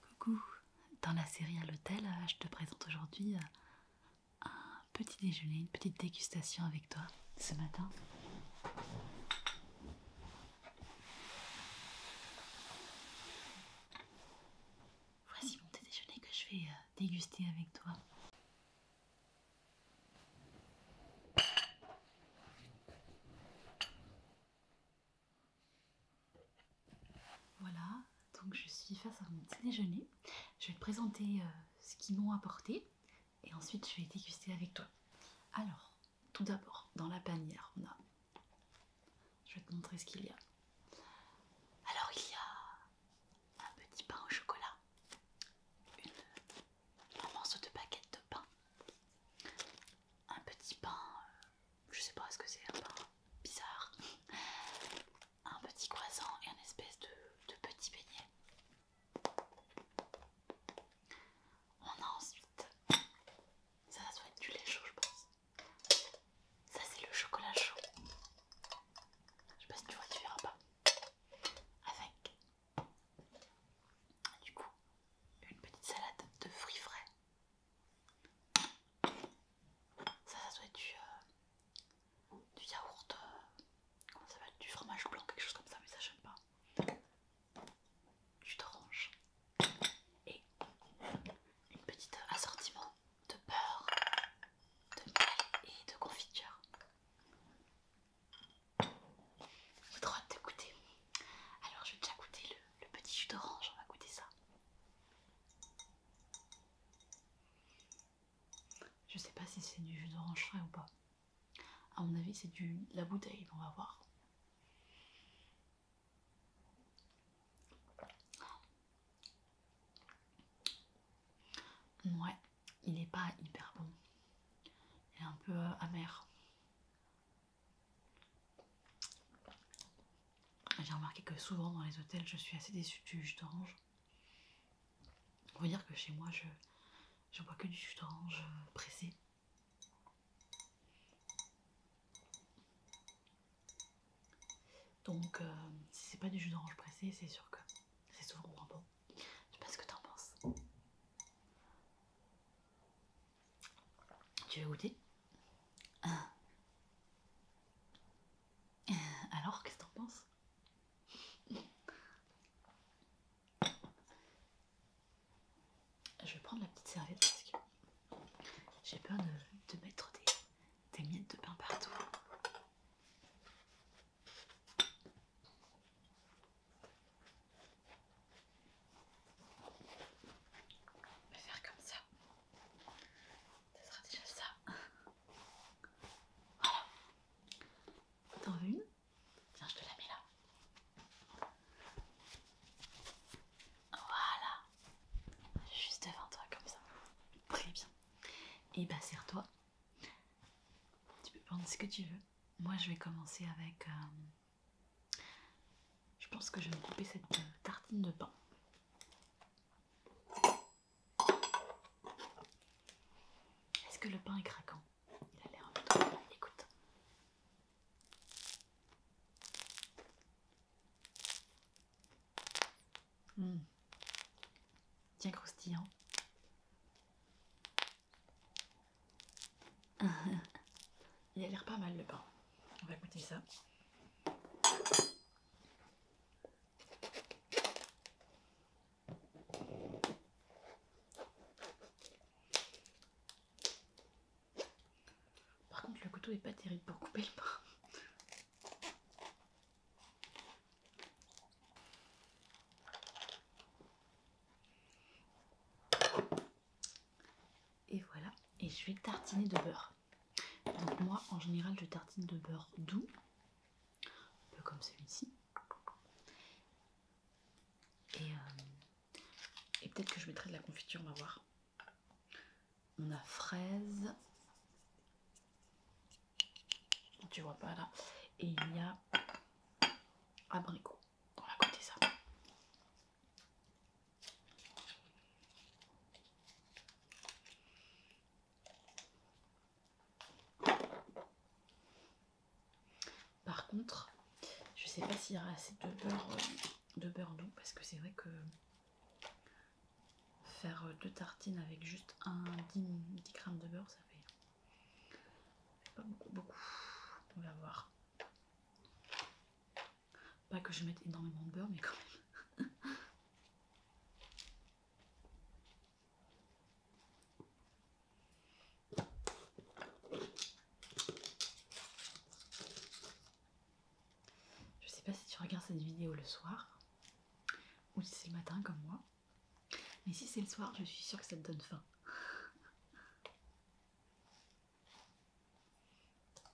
Coucou, dans la série à l'hôtel, euh, je te présente aujourd'hui euh, un petit déjeuner, une petite dégustation avec toi ce matin. Voici mon petit déjeuner que je vais euh, déguster avec toi. Voilà, donc je suis face à mon petit déjeuner. Je vais te présenter euh, ce qu'ils m'ont apporté et ensuite je vais déguster avec toi. Alors, tout d'abord, dans la panière, on a... Je vais te montrer ce qu'il y a. Alors, il y a un petit pain au chocolat, un morceau de baguette de pain, un petit pain euh, je sais pas ce que c'est, un pain bizarre, un petit croissant et un espèce de, petit beignet. On a ensuite, ça, ça doit être du lait chaud, je pense. Ça, c'est le chocolat chaud. Je sais pas si tu vois, tu verras pas. Avec du coup, une petite salade de fruits frais ça, ça doit être du, euh, yaourt, euh, comment ça du fromage blanc, quelque chose comme ça, mais ça j'aime pas. Du d'orange et une petite assortiment de beurre, de miel et de confiture. J'ai droit d'écouter. Alors je vais déjà goûter le, petit jus d'orange, on va goûter ça. Je sais pas si c'est du jus d'orange frais ou pas. À mon avis c'est du la bouteille, on va voir. Ouais, il n'est pas hyper bon. Il est un peu euh, amer. J'ai remarqué que souvent dans les hôtels, je suis assez déçue du jus d'orange. On va dire que chez moi, je, ne bois que du jus d'orange euh, pressé. Donc, euh, si c'est pas du jus d'orange pressé, c'est sûr que c'est souvent moins bon. Je sais pas ce que t'en penses. Tu veux goûter Alors, qu'est-ce que t'en penses Je vais prendre la petite serviette parce que j'ai peur de, mettre des, des miettes de pain partout. Je vais faire comme ça. Ce sera déjà ça. Voilà. T'en veux une Tiens, je te la mets là. Voilà. Juste devant toi, comme ça. Très bien. Et eh bah, ben, serre-toi. Tu peux prendre ce que tu veux. Moi, je vais commencer avec... Euh, je pense que je vais me couper cette euh, tartine de pain. Est-ce que le pain est craquant Il a l'air un peu trop. Écoute. Tiens mmh. croustillant. Il a l'air pas mal le pain. On va goûter ça. Par contre, le couteau n'est pas terrible pour couper le pain. Et voilà, et je vais tartiner de beurre. Donc moi en général je tartine de beurre doux, un peu comme celui-ci. Euh, et, peut-être que je mettrai de la confiture, on va voir. On a fraise. Tu vois pas là. Et il y a abricot. On va goûter ça. Par contre, je sais pas s'il y aura assez de beurre, euh, de beurre doux parce que c'est vrai que faire euh, deux tartines avec juste un 10, g de beurre, ça fait pas beaucoup, beaucoup. On va voir. Pas que je mette énormément de beurre, mais quand même. Je sais pas si tu regardes cette vidéo le soir ou si c'est le matin comme moi, mais si c'est le soir, je suis sûre que ça te donne faim.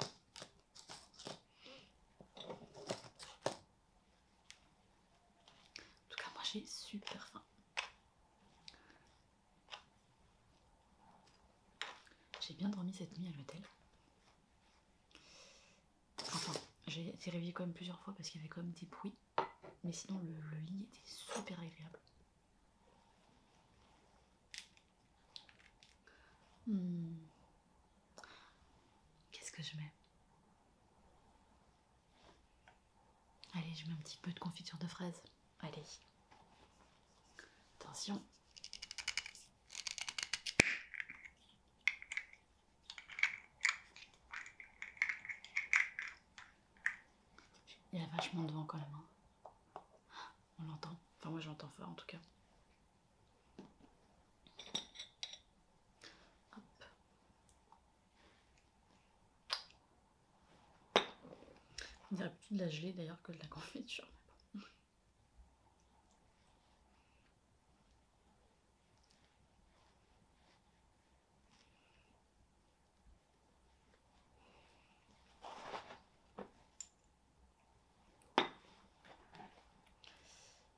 En tout cas, moi j'ai super faim. J'ai bien dormi cette nuit à l'hôtel. Enfin, j'ai été réveillée quand même plusieurs fois parce qu'il y avait quand même des bruits. Mais sinon, le lit était super agréable. Hmm. Qu'est-ce que je mets Allez, je mets un petit peu de confiture de fraises. Allez. Attention. Il y a vachement de vent quand même. Hein. On l'entend. Enfin, moi j'entends fort en tout cas. Hop. On dirait plus de la gelée d'ailleurs que de la confiture.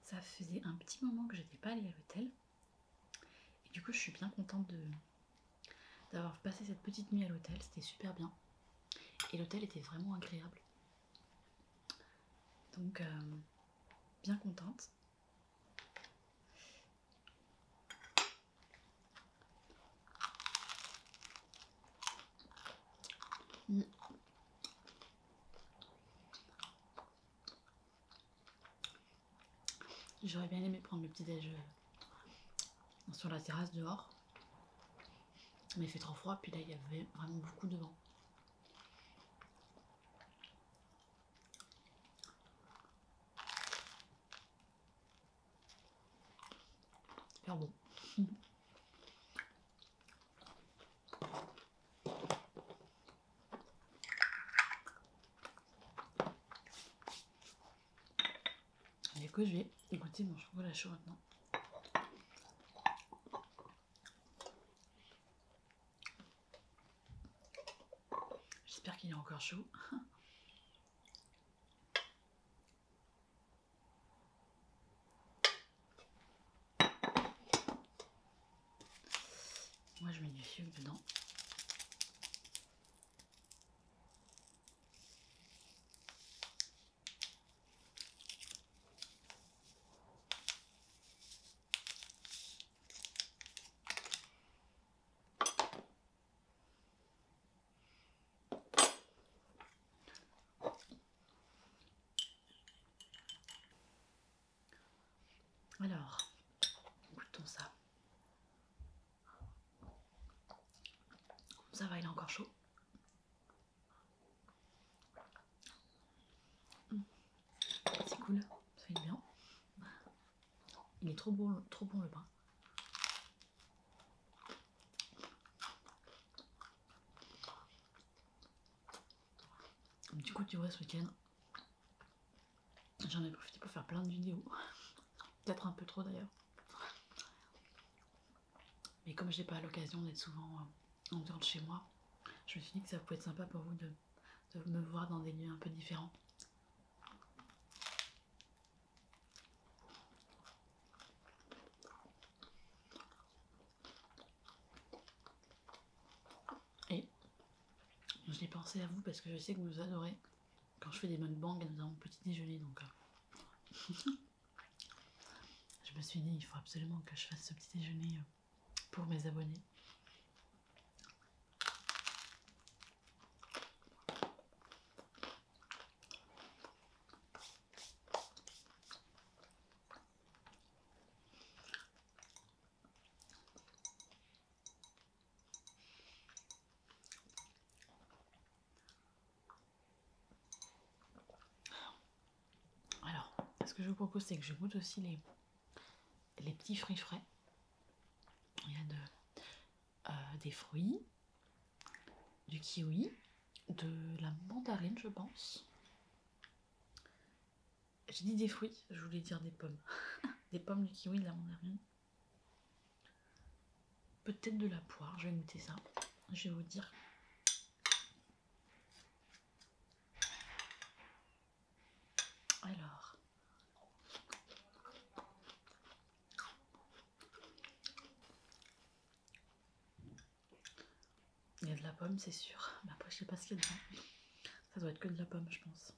Ça faisait un petit moment que je n'étais pas allée à l'hôtel. Et du coup, je suis bien contente d'avoir passé cette petite nuit à l'hôtel. C'était super bien. Et l'hôtel était vraiment agréable. Donc, euh, bien contente. Mm. J'aurais bien aimé prendre le petit déjeuner sur la terrasse dehors. Mais il fait trop froid, puis là il y avait vraiment beaucoup de vent. C'est Super bon. Allez Et que je vais goûter mon chocolat chaud maintenant. J'espère qu'il est encore chaud. Moi je mets du sucre dedans. Alors, goûtons ça. Ça va, il est encore chaud. C'est cool, ça bien. Il est trop bon, trop bon le pain. Du coup, tu vois, ce week-end, j'en ai profité pour faire plein de vidéos. Peut-être un peu trop d'ailleurs. Mais comme j'ai pas l'occasion d'être souvent euh, en dehors de chez moi, je me suis dit que ça pouvait être sympa pour vous de de me voir dans des lieux un peu différents. Et je l'ai pensé à vous parce que je sais que vous adorez quand je fais des mukbangs et nous avons petit déjeuner donc euh. je me suis dit il faut absolument que je fasse ce petit déjeuner euh, pour mes abonnés. Alors, ce que je vous propose, c'est que je goûte aussi les les petits fruits frais. Il y a euh, des fruits, du kiwi, de la mandarine, je pense. J'ai dit des fruits, je voulais dire des pommes. des pommes, du kiwi, de la mandarine. Peut-être de la poire, je vais goûter ça. Je vais vous dire. Alors, il y a de la pomme, c'est sûr. Mais après, je sais pas ce qu'il y a Ça doit être que de la pomme, je pense.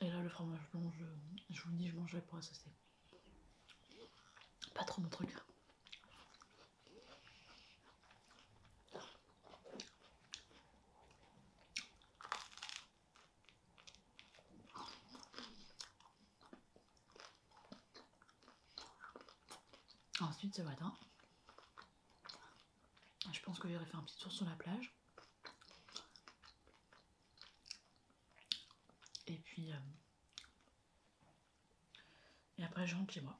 Et là, le fromage blanc, je, vous dis, je mangerai pour associer. Pas trop mon truc. Ensuite, ce matin, je pense que j'aurais fait un petit tour sur la plage. Et puis, euh, et après, je rentre moi.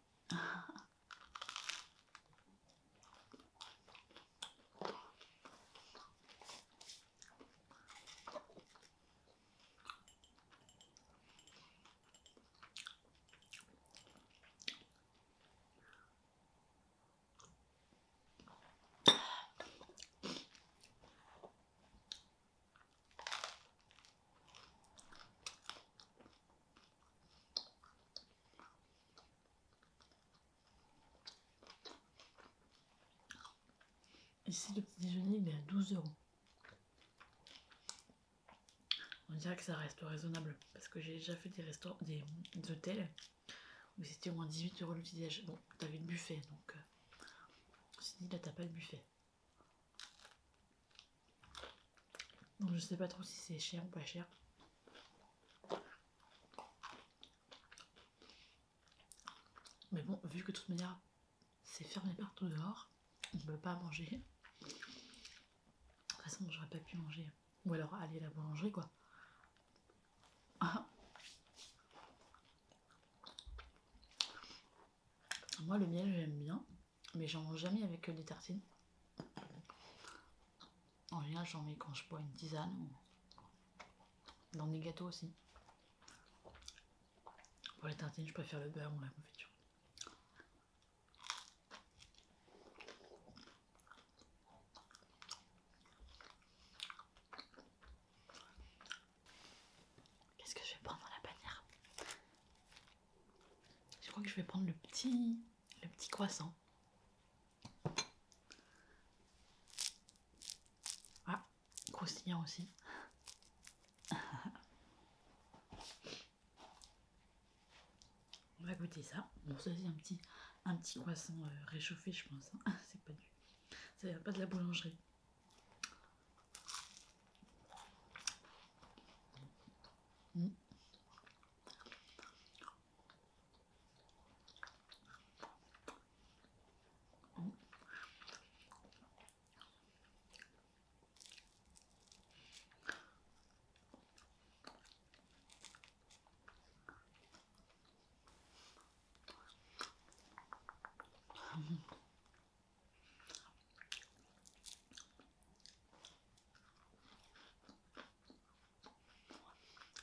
Ici, le petit déjeuner, il est à 12 euros. On dirait que ça reste raisonnable parce que j'ai déjà fait des, restaurants, des hôtels c'était au moins 18 euros l'utilisation. Bon, t'avais le buffet donc. Euh, on dit là, t'as pas le buffet. Donc, je sais pas trop si c'est cher ou pas cher. Mais bon, vu que de toute manière, c'est fermé partout dehors, on ne peut pas manger. De toute façon, j'aurais pas pu manger. Ou alors aller à la boulangerie, quoi. Moi, le miel, j'aime bien, mais j'en mange jamais avec euh, des tartines. En rien j'en mets quand je bois une tisane dans des gâteaux aussi. Pour les tartines, je préfère le beurre ou la confiture. Qu'est-ce que je vais prendre dans la bannière Je crois que je vais prendre le petit, le petit croissant. Ah, croustillant aussi. On va goûter ça. Bon, ça c'est un petit, un petit croissant euh, réchauffé, je pense. Hein. c'est pas du. Ça vient pas de la boulangerie.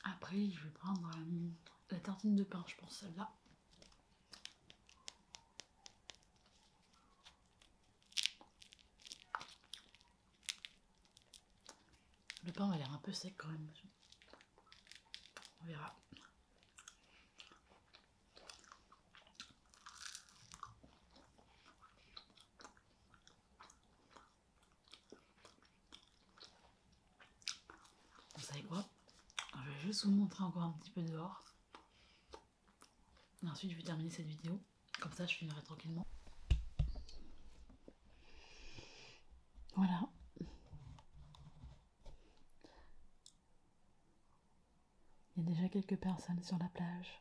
Après, je vais prendre euh, la tartine de pain, je pense celle-là. Le pain a l'air un peu sec quand même. On verra. Vous savez quoi Je vais juste vous montrer encore un petit peu dehors. ensuite, je vais terminer cette vidéo. Comme ça, je finirai tranquillement. Voilà. Il y a déjà quelques personnes sur la plage.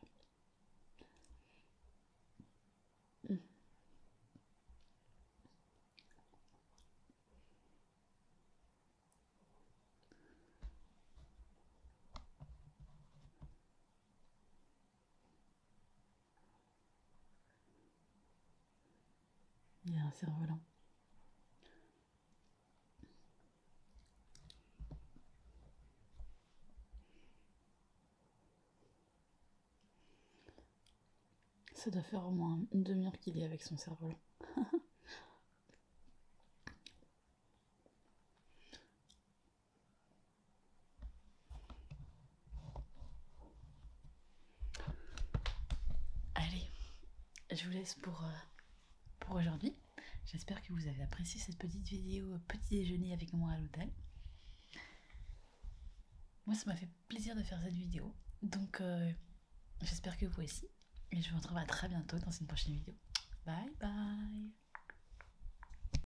Il a un cerf-volant. Ça doit faire au moins une demi-heure qu'il est avec son cerf-volant. Allez, je vous laisse pour, euh, pour aujourd'hui. J'espère que vous avez apprécié cette petite vidéo euh, petit déjeuner avec moi à l'hôtel. Moi, ça m'a fait plaisir de faire cette vidéo. Donc, euh, j'espère que vous aussi. Et je vous retrouve à très bientôt dans une prochaine vidéo. Bye bye